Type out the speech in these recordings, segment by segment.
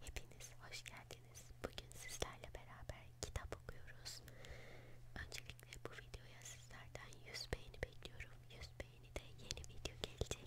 Hepiniz hoş geldiniz. Bugün sizlerle beraber kitap okuyoruz. Öncelikle bu videoya sizlerden 100 beğeni bekliyorum. 100 beğeni de yeni video gelecek.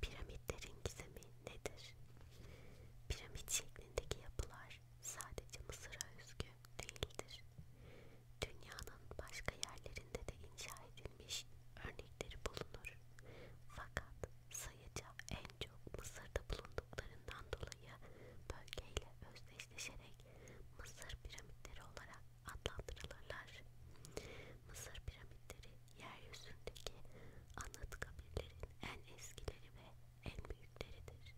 Piramitlerin gizemi nedir? Piramit şeklindeki yapılar sadece Mısır'a özgü değildir. Dünyanın başka yerlerinde de inşa edilmiş örnekleri bulunur. Fakat sayıca en çok Mısır'da bulunduklarından dolayı bölgeyle özdeşleşerek Mısır piramitleri olarak adlandırılırlar. Mısır piramitleri yeryüzündeki anıt kabirlerin en eskileri ve en büyükleridir.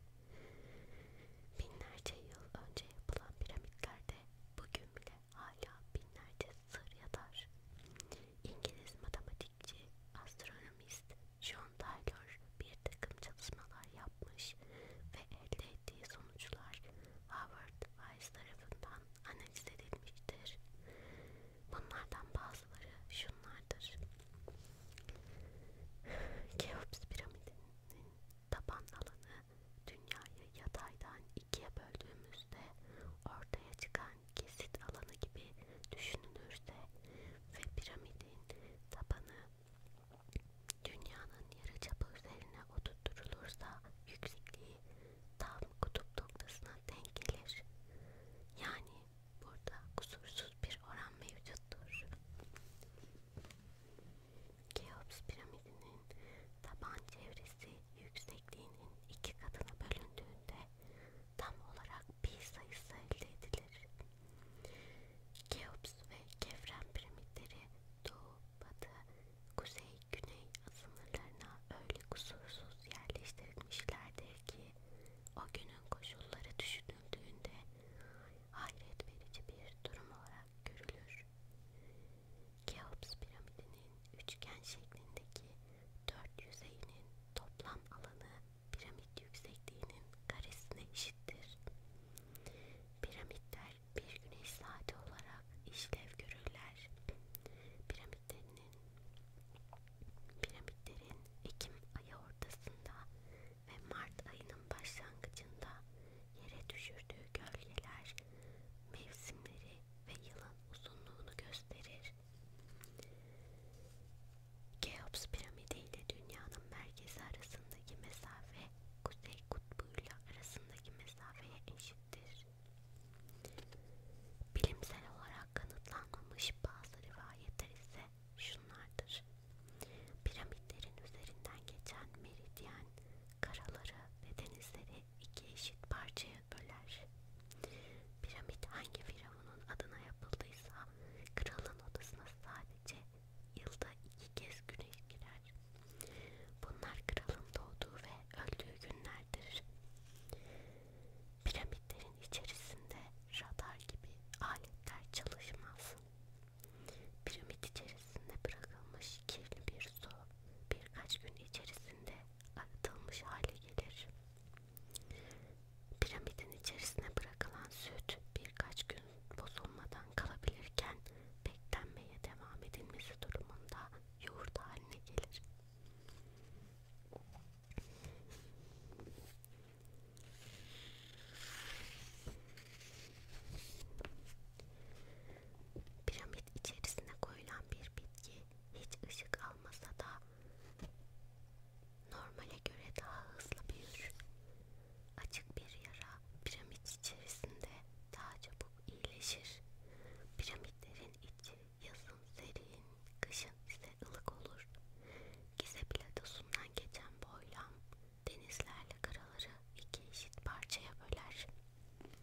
Binlerce yıl önce yapılan piramitlerde bugün bile hala binlerce sır yatar. İngiliz matematikçi, astronomist John Taylor bir takım çalışmalar yapmış ve elde ettiği sonuçlar Howard Weiss tarafından analiz edilmiştir. Bunlardan bazıları şunlardır. Keops piramidinin taban alanı dünyayı yataydan ikiye böldüğümüzde ortaya çıkan kesit alanı gibi düşünülürse ve piramidin tabanı dünyanın yarıçapı üzerine oturtulursa yüksekliği tam kutup noktasına denk gelir. Yani burada kusursuz bir oran mevcuttur. Keops piramidinin taban çevresi yüksekliğinin iki katına bölündüğünde tam olarak pi sayısı elde edilir. Keops ve Kefren piramitleri doğu, batı, kuzey, güney sınırlarına öyle kusursuz yerleştirilmişlerdir ki o günün koşulları düşünüldüğünde hayret verici bir durum olarak görülür. Keops piramidinin üçgen şeklindeki dört yüzeyinin toplam alanı piramit yüksekliğinin karesine eşittir. Piramitler bir güneş saati olarak işlev görürler. Piramitlerin, piramitlerin Ekim ayı ortasında ve Mart ayının başlangıcında yere düşürdüğü gölgeler mevsimleri ve yılın uzunluğunu gösterir. Keops piramidi ile dünyanın merkezi arasındaki mesafe kuzey kutbuyla arasındaki mesafeye eşittir. Bilimsel olarak kanıtlanmamış bazı rivayetler ise şunlardır. Piramitlerin üzerinden geçen meridyen, karaları ve denizleri iki eşit parçaya böler. Piramit hangi firavunun adına yapıldıysa kralın odasına sadece yılda iki kez güneş girer. Bunlar kralın doğduğu ve öldüğü günlerdir. Piramitlerin içerisinde radar gibi aletler çalışmaz. Piramit içerisinde içerisinde bırakılmış kirli bir su birkaç gün içerisinde arıtılmış hale gelir. Piramidin içerisine bırakılan süt birkaç gün bozulmadan kalabilirken beklenmeye devam edilmesi durumunda yoğurt haline gelir. Piramidin sepet içerisine koyulan bir bitki hiç ışık almasa da normale göre daha hızlı büyür. Açık bir yara piramit içerisinde daha çabuk iyileşir. Piramitlerin içi yazın serin, kışın ise ılık olur. Gize platosundan geçen boylam denizlerle karaları iki eşit parçaya böler.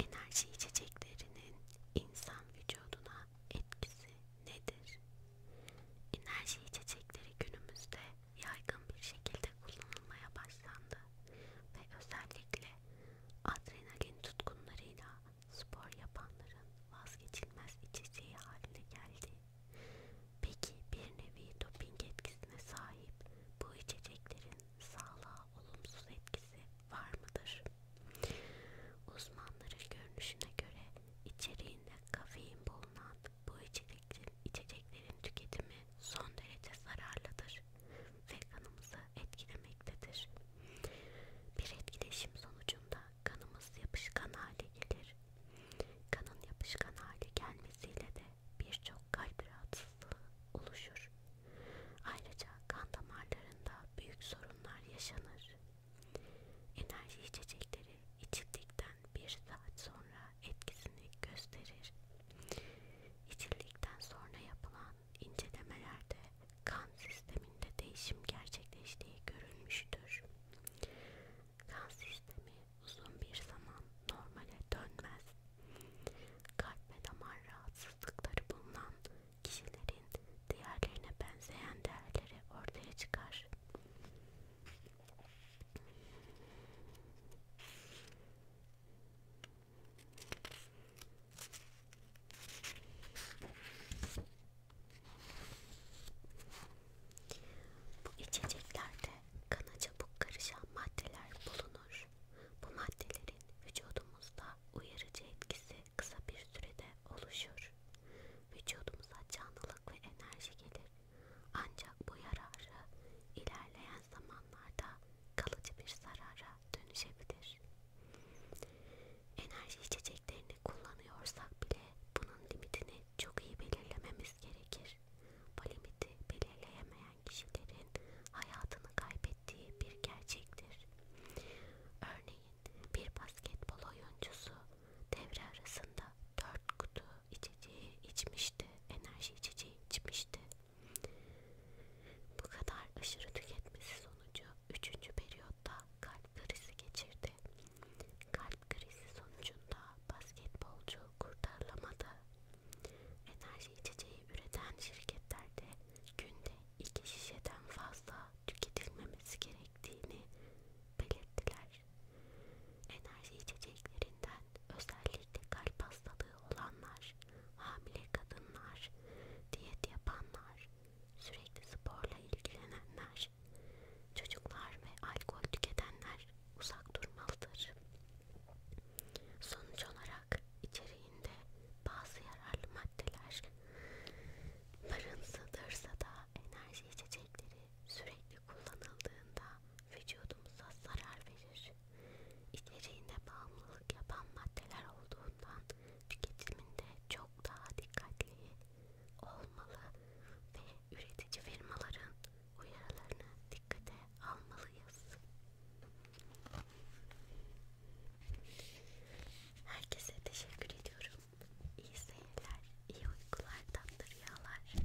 Enerji içeceklerinin insan vücuduna etkisi nedir? Enerji içecekleri günümüzde yaygın bir şekilde kullanılmaya başlandı ve özellikle adrenalin tutkunlarıyla spor yapanların vazgeçilmez içeceği haline geldi. Peki bir nevi doping etkisine sahip bu içeceklerin sağlığa olumsuz etkisi var mıdır? Uzmanların görünüşüne göre içeriğinde kafein bulunan bu içeceklerin, içeceklerin tüketimi son derece zararlıdır ve kanımızı etkilemektedir. Bir etkileşim sonucunda kanımız yapışkan hale gelir. Kanın yapışkan hale gelmesiyle de birçok kalp rahatsızlığı oluşur. Ayrıca kan damarlarında büyük sorunlar yaşanır. Enerji içecekleri içildikten bir saat sonra etkisini gösterir. İçildikten sonra yapılan incelemelerde kan sisteminde değişim gerçekleştiği görülmüştür. Kan sistemi uzun bir zaman normale dönmez. Kalp ve damar rahatsızlıkları bulunan kişilerin diğerlerine benzeyen değerleri ortaya çıkar. Bu içeceklerde kana çabuk karışan maddeler bulunur. Bu maddelerin vücudumuzda uyarıcı etkisi kısa bir sürede oluşur. Vücudumuza canlılık ve enerji gelir. Ancak bu yararı ilerleyen zamanlarda kalıcı bir zarara dönüşebilir. Enerji içeceklerini kullanıyorsak bile bunun limitini çok iyi belirlememiz gerekir. Bu limiti belirleyemeyen kişilerin hayatını kaybettiği bir gerçektir. Örneğin bir basketbol oyuncusu devre arasında 4 kutu içeceği içmişti, enerji içeceği içmişti. Bu kadar aşırı tüketmesi sonucu 3. periyotta kalp krizi geçirdi. Kalp krizi sonucunda basketbolcu kurtarılamadı. Enerji içeceği üreten şirketlerde günde iki şişeden fazla tüketilmemesi gerektiğini belirttiler. Enerji içeceklerinden özellikle kalp hastalığı olanlar, hamile kadınlar, diyet yapanlar, sürekli sporla ilgilenenler gerekir. Çocuklar ve alkol tüketenler uzak durmalıdır. Sonuç olarak içeriğinde bazı yararlı maddeler barındırsa da enerji içecekleri sürekli kullanıldığında vücudumuza zarar verir. İçeriğinde bağımlılık yapan maddeler olduğundan tüketiminde çok daha dikkatli olmalı ve üretici firmaların uyarılarını dikkate almalıyız. Herkese teşekkür ediyorum. İyi seyirler, iyi uykular, tatlı rüyalar.